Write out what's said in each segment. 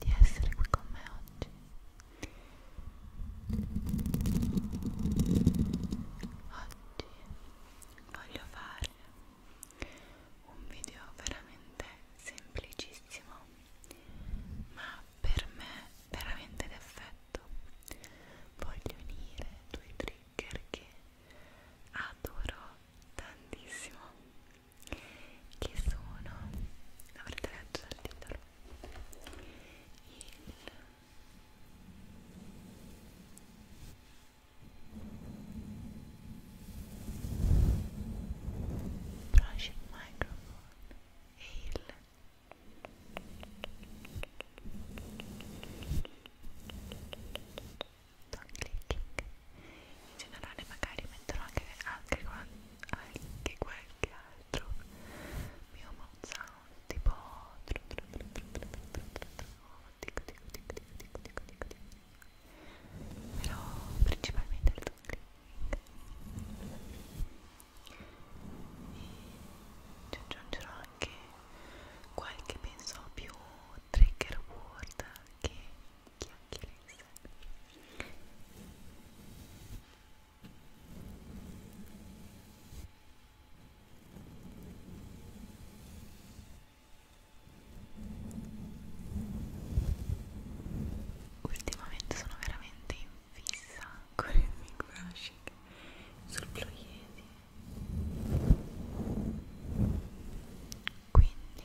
di essere qui con me oggi. Oggi voglio fare un video veramente semplicissimo, ma per me veramente d'effetto. Voglio unire due trigger che adoro tantissimo che sono avrete letto dal titolo il Project Microphone e il Project non clicking in generale magari metterò anche, anche, anche qualche altro mio mouth sound tipo però principalmente il e ci aggiungerò anche qualche penso più trigger word che chiacchiere in sé ultimamente sono veramente in fissa con il microbrushing sul blu ieri quindi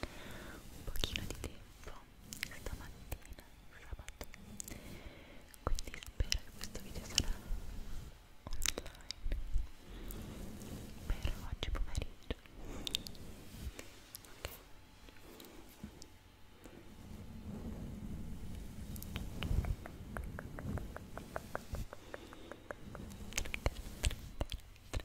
un pochino di tempo stamattina, sabato quindi spero che questo video sarà online per oggi pomeriggio ok Tre, tre, tre, tre,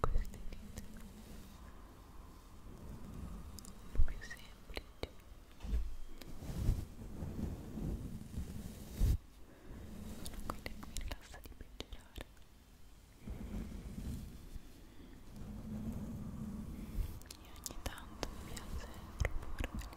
queste dita più semplici sono quelle che mi rilassa di peggiorare e ogni tanto mi piace proporveli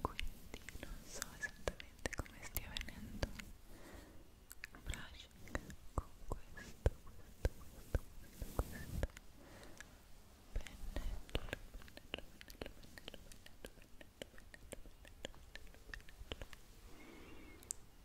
quindi non so esattamente come stia venendo il brushing con questo, questo, questo, questo, questo pennello, pennello, pennello, pennello, pennello, pennello, pennello, pennello, pennello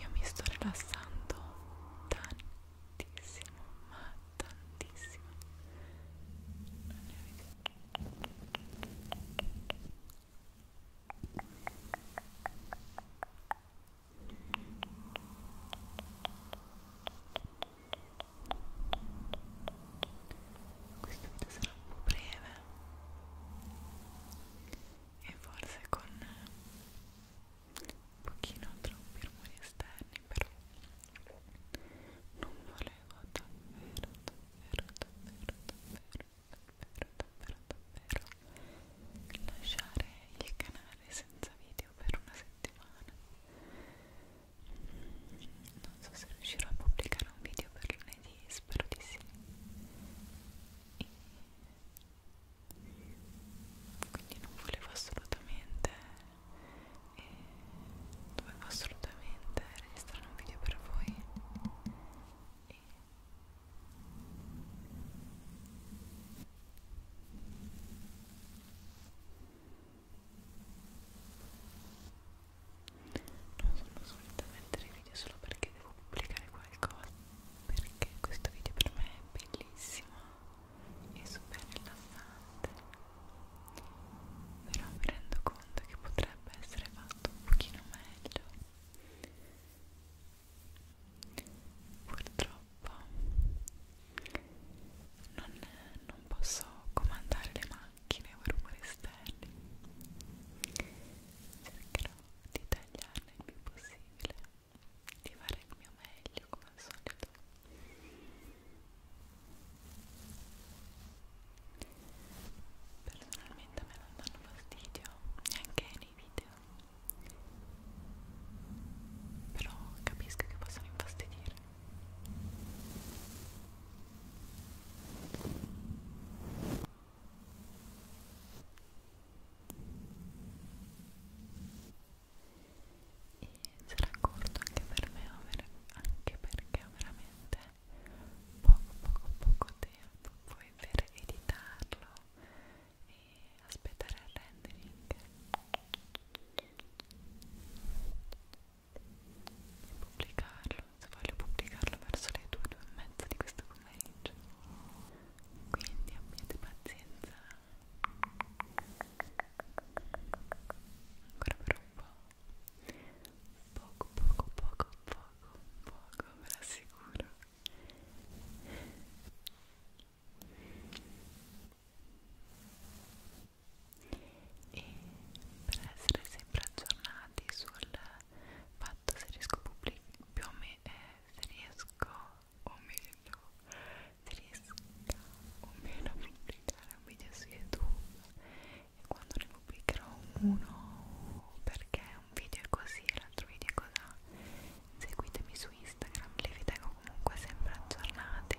Io mi sto rilassando tantissimo, ma tantissimo. Non ne avete Io questo video sarà un po' breve e forse con un pochino troppi rumori esterni però non volevo davvero davvero davvero davvero davvero davvero davvero lasciare il canale senza video per una settimana non so se riuscirò a pubblicare un video per lunedì spero di sì e quindi non volevo assolutamente e eh, dovevo assolutamente registrare un video per voi e e non sono solita mettere video solo perché devo pubblicare qualcosa perché questo video per me è bellissimo e super rilassante però mi rendo conto che potrebbe essere fatto un pochino meglio purtroppo non, non posso comandare le mani macchine o rumori esterni cercherò di tagliarne il più possibile di fare il mio meglio come al solito personalmente a me non danno fastidio neanche nei video però capisco che possono infastidire e sarà corto anche per me anche perché veramente poco poco poco tempo poi per editarlo e aspettare il rendering e pubblicarlo, se voglio pubblicarlo verso le 2, 2 e mezza di questo pomeriggio quindi abbiate pazienza ancora per un po' poco, poco, poco, poco, poco, ve lo assicuro e per essere sempre aggiornati sul fatto se riesco a pubblicare eh, se riesco o meno se riesco o meno a pubblicare un video su youtube e quando ne pubblicherò uno perché un video è così e l'altro video è cos'ha seguitemi su instagram li vi tengo comunque sempre aggiornati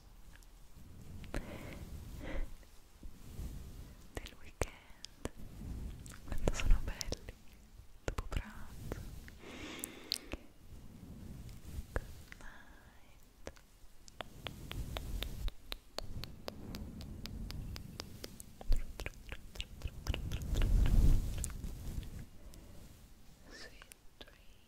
del weekend quando sono belli dopo pranzo good night sweet dreams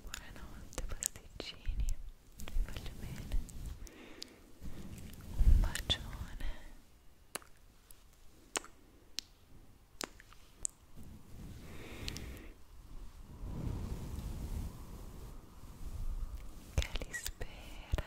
Buonanotte pataticini, vi voglio bene. Un bacione. Che li spera.